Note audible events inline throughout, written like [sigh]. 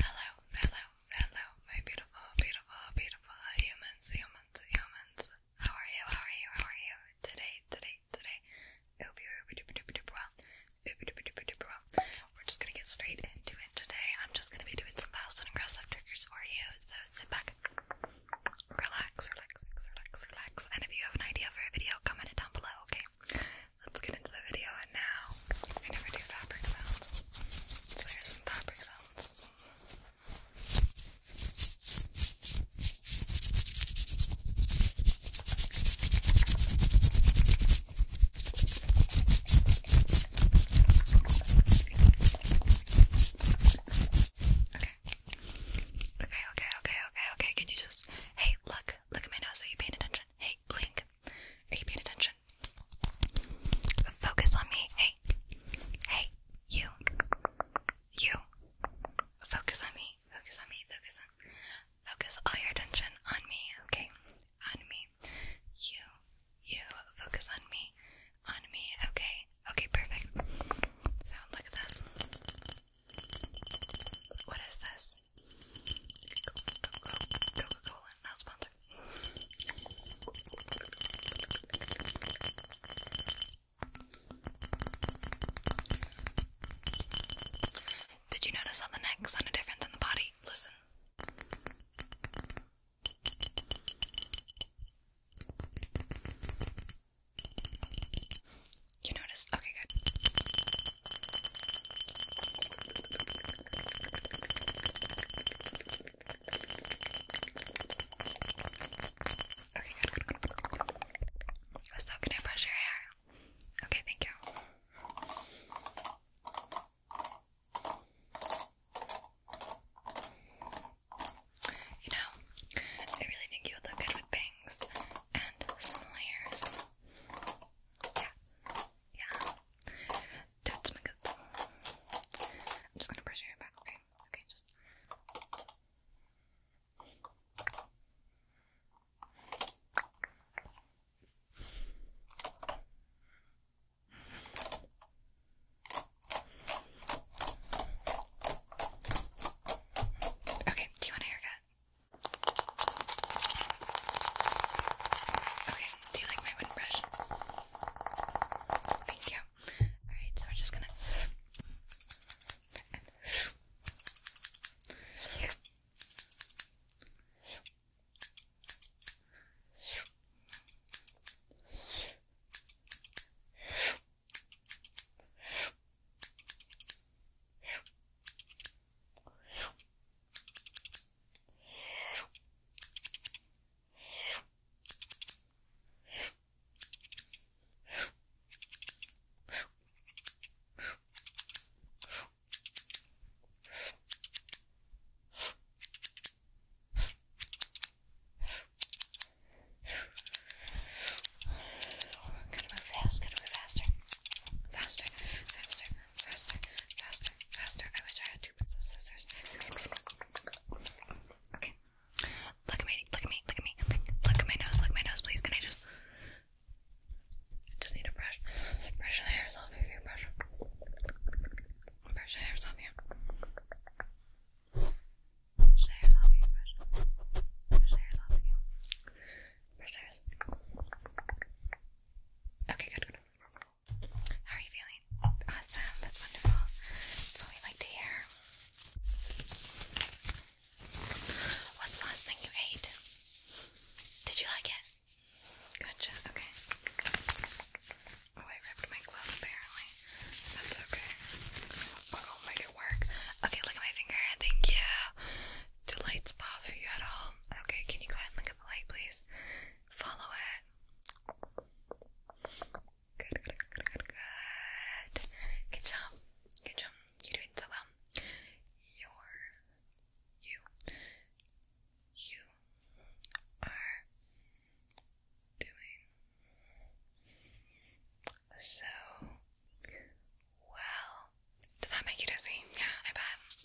Hello, hello, hello, my beautiful, beautiful, beautiful humans, humans, humans. How are you? How are you? How are you? Today, today, today. Hope you're well. We're just gonna get straight into it today. I'm just gonna be doing some fast and aggressive triggers for you. So sit back, relax, relax, relax, relax, relax. And if you have an idea for a video, comment it down below, okay? let's get into the video. And now I never do fabric sounds, so here's some fabric sounds. Okay, okay, okay, okay, okay. Can you just hey, look, look at my nose, are you paying attention? Hey, blink. Are you paying attention? Focus on me. Hey. Hey, you. You. Focus on me. Focus on me. Focus on Focus all your attention on me, okay? On me. You. You focus on me. On me. Okay. Okay, perfect. Sound look at this. What is this? Coca-Cola. Coca-Cola. Now that. Did you notice how the neck sounded different than the body? Listen. You noticed? Okay, good. So, can I brush your hair? Okay, thank you. You know, I really think you would look good with bangs and similar ears. Yeah, yeah. That's my good. I'm just gonna brush your hair back, okay? Okay, just. Okay, do you want a haircut? Okay, do you like my wooden brush? Thank you. Alright, so we're just gonna. Gotta move fast, gotta move faster. Faster, faster faster, faster, faster. I wish I had two pairs of scissors. Okay. Look at me, look at me, look at me. Look at my nose, look at my nose, please. Can I just. I just need to brush. Brush the hairs off of your brush. Brush the hairs off you. Brush the hairs off you. Brush. Brush the hairs off you. Brush the hairs. Okay, good, good. How are you feeling? Awesome, that's wonderful. That's what we like to hear. What's the last thing you ate? Did you like it? Gotcha, okay. Oh, I ripped my glove apparently. That's okay. I'll make it work. Okay, look at my finger. Thank you. Do lights bother you at all? Okay, can you go ahead and look at the light, please? Follow it. Good, good, good, good, good. Good job. Good job. You're doing so well. You're you. You are doing so well. Did that make you dizzy? Yeah, I bet.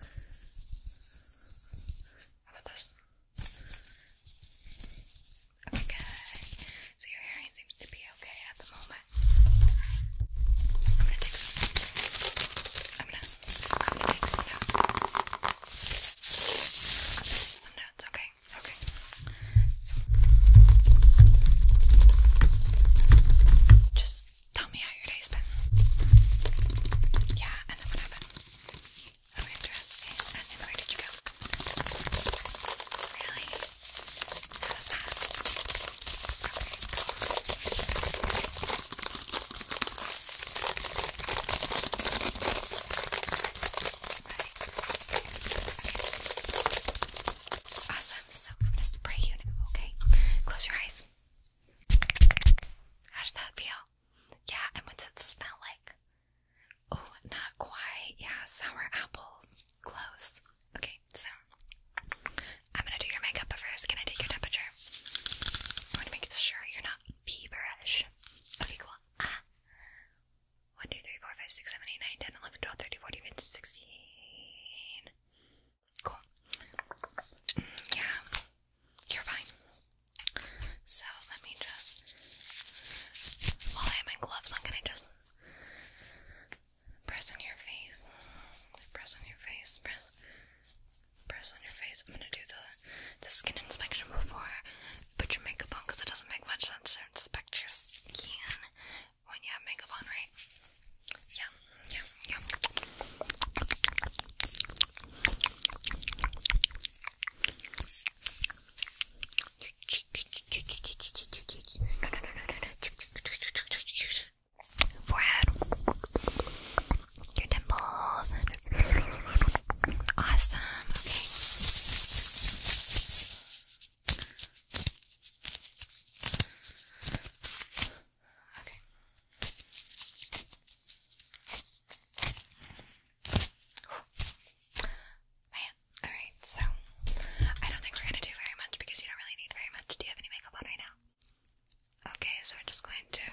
How about this? Okay, So your hearing seems to be okay at the moment. I'm gonna take some. I'm gonna. I'm gonna take some notes. Okay. Okay. just Tell me how your day's Yeah, and then what happened? I'm interested. And then where did you go? Really? How was that? Okay, Awesome. So I'm gonna spray you now, okay? Close your eyes. How did that feel? Yeah, and what's it smell like? Oh, not quite. Yeah, sour apples. Close. Okay, so I'm gonna do your makeup, first, can I take your temperature? I want to make sure you're not feverish. Okay, cool. Ah. 1, 2, 3, 4, 5, 6, 7, 8, 9, 10, 11, 12, 13, 14, 15, 16. Cool. Yeah, you're fine. So let me just. While I have my gloves on, can I just press on your face? Press on your face. Press. Press on your face. I'm gonna do the the skin inspection before put your makeup on because it doesn't make much sense to inspect your skin when you have makeup on, right? Yeah yeah, yeah. Forehead, your temples, awesome. Okay. Okay. Man, alright, so I don't think we're gonna do very much because you don't really need very much. Do you have any makeup on right now? Okay, so we're just going to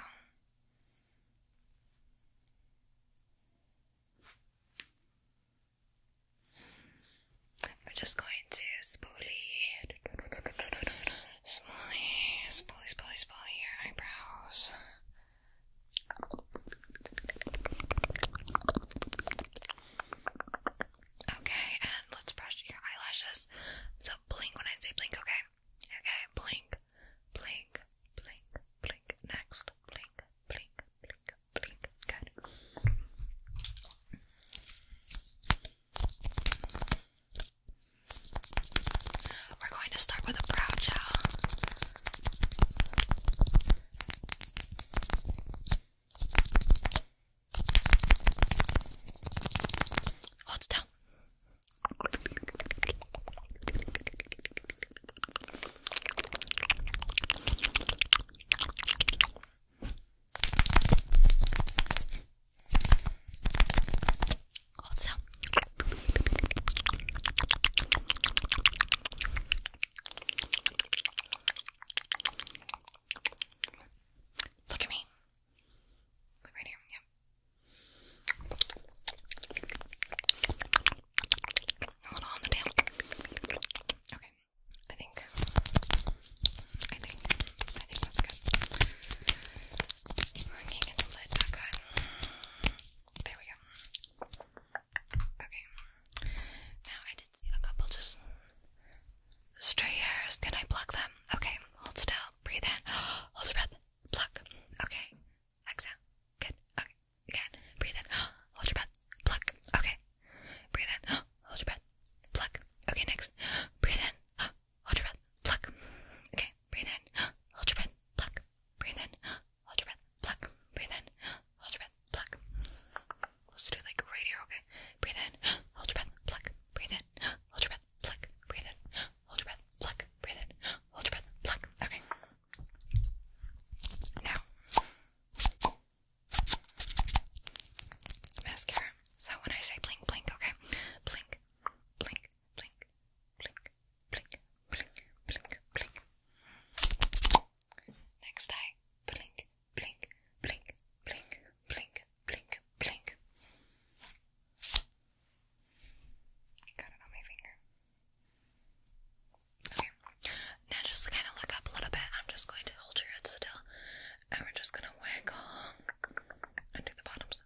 we're just going to spoolie Spoolie, spoolie, spoolie, spoolie your eyebrows. Okay, and let's brush your eyelashes. So blink when I say blink, okay? Okay, blink, blink, blink, blink. Next, blink, blink, blink, blink. Good. We're going to start with a brow gel. Hold still. Also, look at me. right here. Yep. A little on the tail. Okay. I think. I think. I think that's good. I can't get the lid back on. There we go. Okay. Now I did see a couple just stray Can I pluck them? Okay. Hold still. Breathe in. [gasps] Hold your breath. Pluck. Okay. Exhale. Good. Okay. Again. Breathe in. [gasps] Hold your breath. Pluck. Okay. Breathe in. [gasps] Hold your breath. Pluck. Okay, next. Breathe in. Hold your breath. Pluck. Okay breathe in, [gasps] hold your breath, pluck, breathe in, [gasps] hold your breath, pluck, breathe in, [gasps] hold your breath, pluck. Let's do like right here, okay? Breathe in, hold your breath, pluck, breathe in, hold your breath, pluck, breathe in, hold your breath, pluck, breathe in, hold your breath, pluck. Okay. Now mascara. So when I say blink blink, okay? Blink, blink, blink, blink, blink, blink, blink, blink. Next eye, blink, blink, blink, blink, blink, blink, blink. Got it on my finger. Okay. Now just kind of look up a little bit. I'm just going to hold your head still, and we're just gonna wiggle and do the bottom Okay.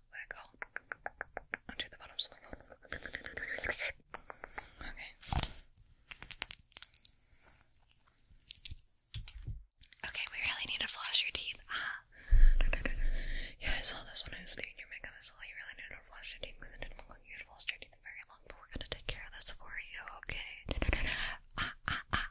Okay, we really need to floss your teeth. Ah. [laughs] yeah, I saw this when I was doing your makeup. I saw you really needed to floss your teeth because it didn't look like you had flossed your teeth very long, but we're gonna take care of this for you, okay? ah, ah, ah,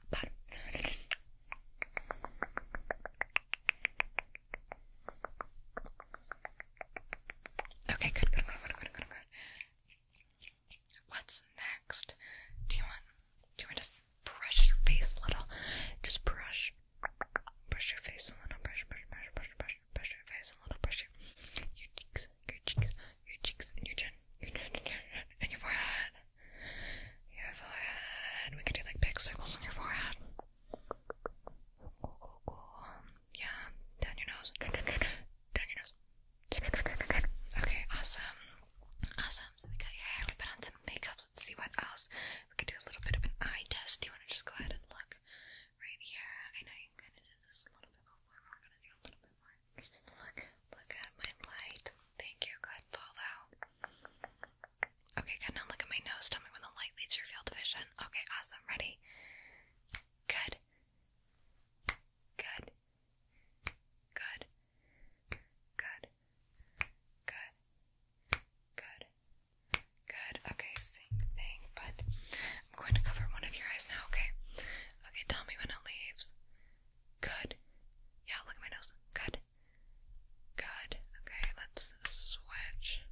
Okay, good, good, good, good, good, good, good. What's next? Do you want do you want to brush your face a little? Just brush. Brush your face a little, brush, brush, brush, brush, brush, brush your face a little, brush your cheeks, your cheeks, your cheeks, and your chin, your chin, your chin, and your forehead. Your forehead. We can do like big circles on your forehead. Go, go, go. Yeah, down your nose. Down your nose. Okay, awesome. Awesome. So we we put on some makeup. Let's see what else. We could do a little bit of an eye test. Do you want to just go ahead and look right here? I know you kind of did this a little bit before, we're going to do a little bit more. Look, look at my light. Thank you. Go follow. Okay, good. Now look at my nose. Tell me when the light leaves your field of vision. Okay, awesome. Ready? Good. Good. Good. Good. Good. Good. Good. Okay, same thing, but I'm going to cover one of your eyes now, okay? Okay, tell me when it leaves. Good. Yeah, look at my nose. Good. Good. Okay, let's switch.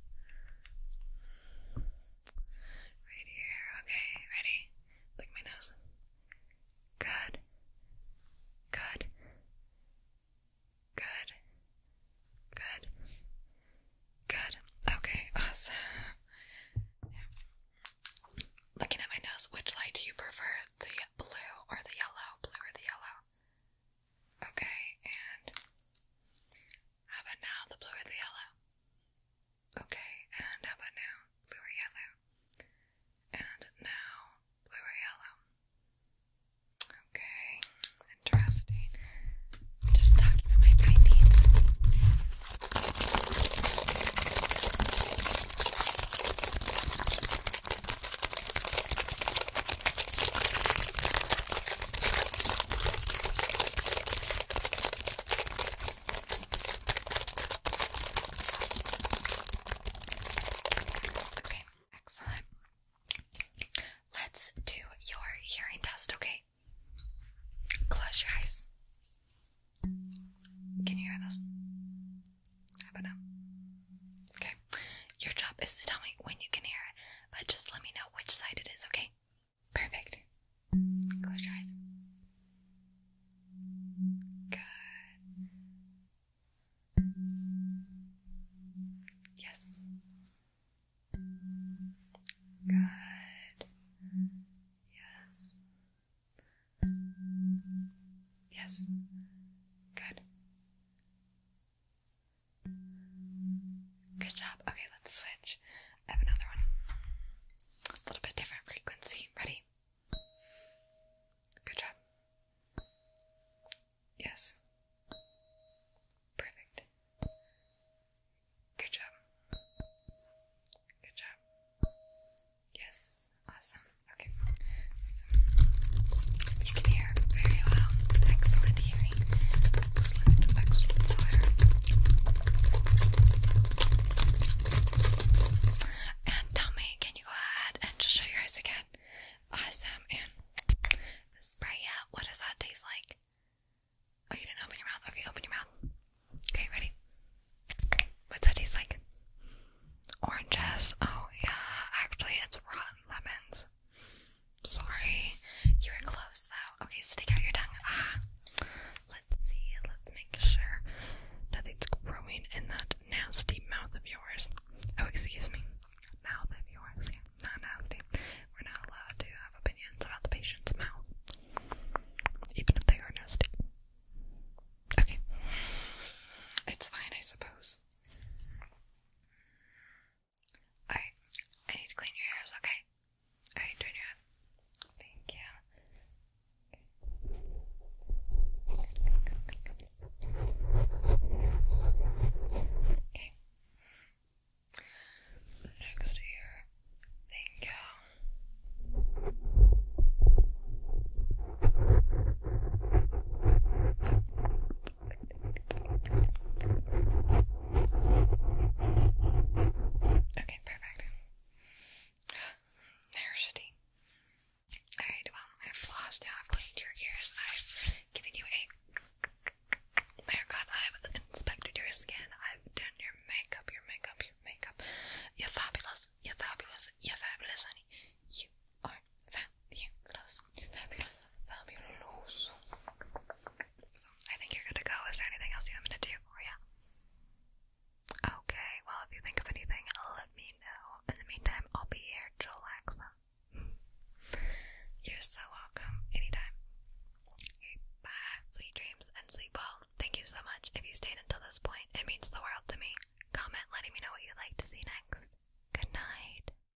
Right here. Okay, ready? Lick my nose. Good. Good. Good. Good. Good. Okay, awesome. Now, looking at my nose, which light do you prefer? The blue or the yellow? Blue or the yellow? Okay, and how about now the blue or the yellow? Okay, and how about now blue or yellow? And now blue or yellow? Okay, interesting. Just talking about my findings. Okay, excellent. Let's do your hearing test, okay? Close your eyes. Can you hear this? How about now? Okay. Your job is to tell me when you can hear it, but just let me know which side it is, okay? Perfect. Close your eyes. Good. Yes. Good. Yes. Yes. Good. Good job. Okay, let's switch. I have another one. A little bit different frequency. Ready? Good job. Yes. Perfect. Good job. Good job. Yes. Awesome. Okay. You can hear very well. Excellent hearing. Excellent, excellent And tell me, can you go ahead and just show your eyes again? Awesome. And spray out. What does that taste like? Oh, you didn't open your mouth. Okay, open your mouth. Okay, ready? What's that taste like? Oranges. Oh, yeah. Actually, it's rotten lemons. Sorry. You were close though. Okay, stick out your tongue. Ah. Let's see. Let's make sure nothing's growing in that nasty mouth of yours. Oh, excuse me. Mouth of yours. Yeah, not nasty. We're not allowed to have opinions about the patient's mouth, even if they are nasty. Okay. It's fine, I suppose. Alright, I need to clean your hairs, okay? Alright, turn your head. Thank you. Okay. Next ear. Thank you. Okay, perfect. [gasps] Thirsty. Alright, well, I've flossed now, I've cleaned your ears, I've given you a haircut, oh I've inspected your skin, I've done your makeup, your makeup, your makeup. You're fabulous, you're fabulous, you're fabulous, honey. You are I think you're good to go. Is there anything else you want me to do for you? Okay, well, if you think of anything, let me know. In the meantime, I'll be here to relax you're so welcome. Anytime. bye. Sweet dreams and sleep well. Thank you so much. If you stayed until this point, it means the world to me. Comment letting me know what you'd like to see next. Good night.